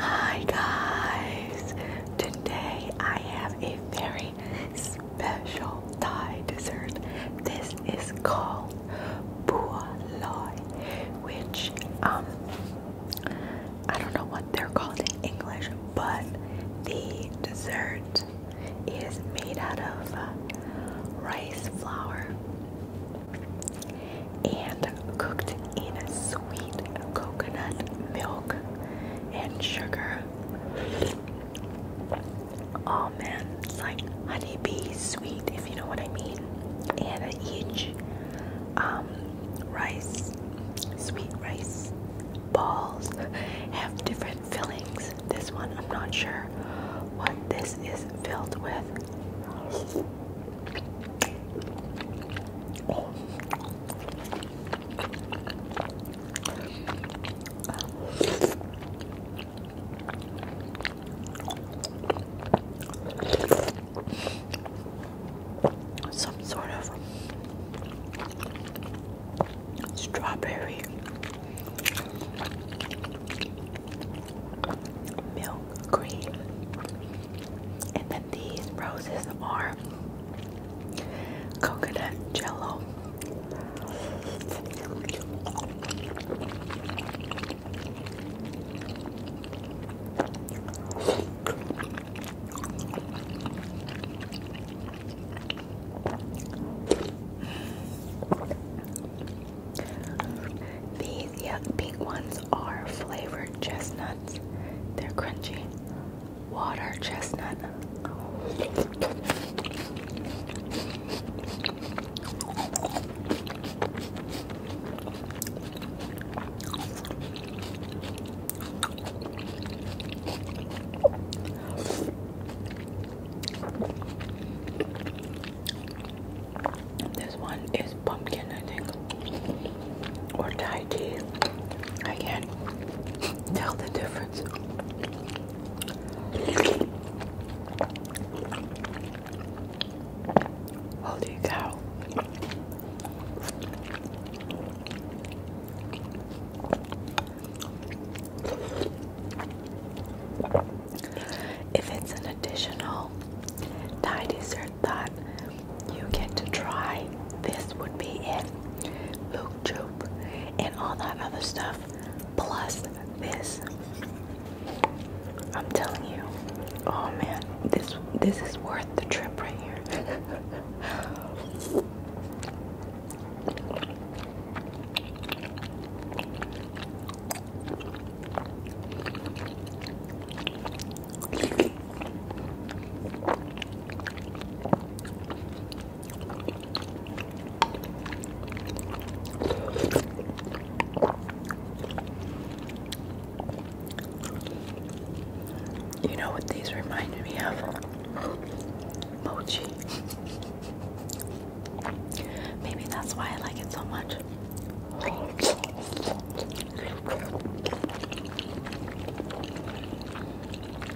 Hi guys! Today I have a very special Thai dessert. This is called bua loy, which um, I don't know what they're called in English, but the dessert is made out of uh, rice flour and cooked in a sweet coconut milk and sugar Oh man, it's like honeybee sweet, if you know what I mean. And each um, rice, sweet rice balls have different fillings. This one, I'm not sure what this is filled with some sort of strawberry milk cream. And then these roses are coconut jello. These yeah, pink ones are flavored chestnuts. They're crunchy water chestnut. This one is pumpkin, I think, or Thai tea. I can't tell the difference. Holy oh, cow. If it's an additional Thai dessert that you get to try, this would be it. Look, Joe and all that other stuff, plus this. I'm telling you, oh man, this this is worth the trip right here. You know what these remind me of? Mochi. Maybe that's why I like it so much.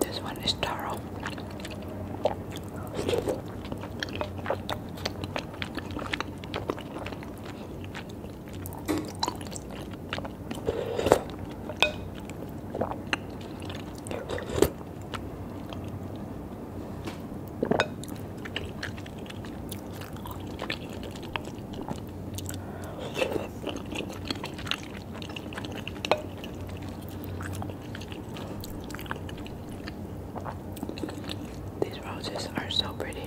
This one is taro. These roses are so pretty.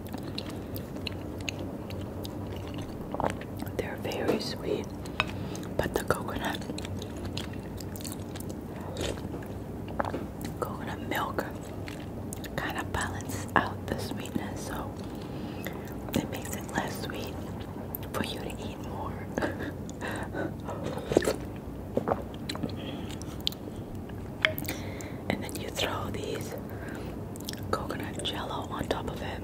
They're very sweet, but the coconut coconut milk kind of balances out the sweetness, so it makes it less sweet for you to eat more. and then you throw these coconut jello on top of it.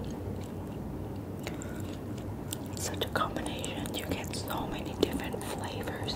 such a combination, you get so many different flavors.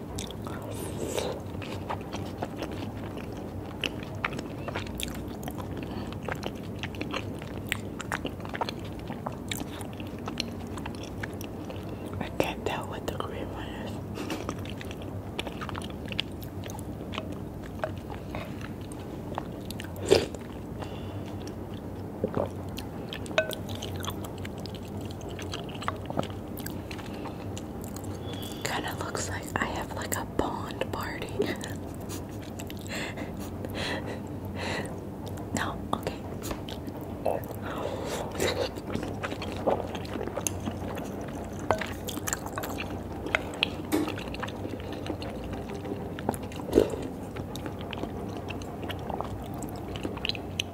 I can't tell what the green one is. Kind of looks like I have like a pond party. no, okay. Let's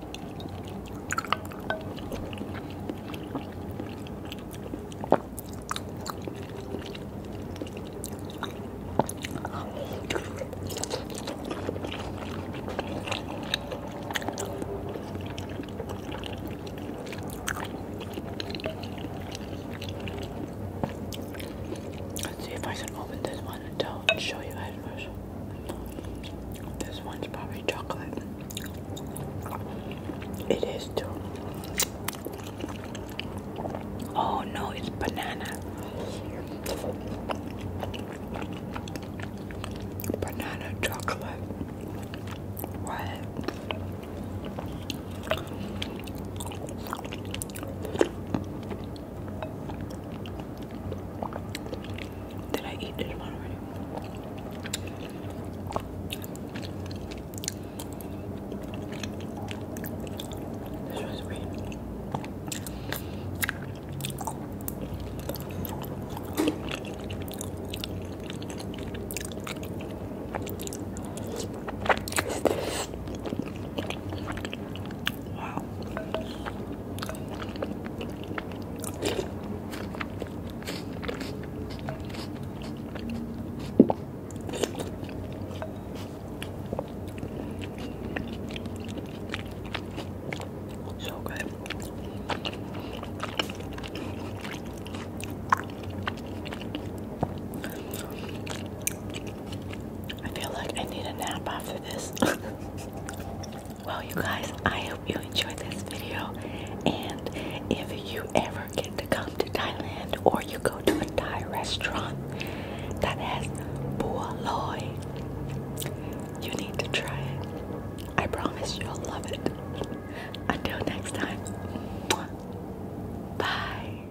see if I can open this one and tell and show you guys first. This one's probably chocolate. It is too. Oh no, it's banana. Banana chocolate. What? Did I eat this one already? This was free. Wow. So good. I feel like I need a nap after this. Well, you guys, I hope you enjoyed this video. And if you ever get to come to Thailand or you go to a Thai restaurant that has bua loy, you need to try it. I promise you'll love it. Until next time, bye.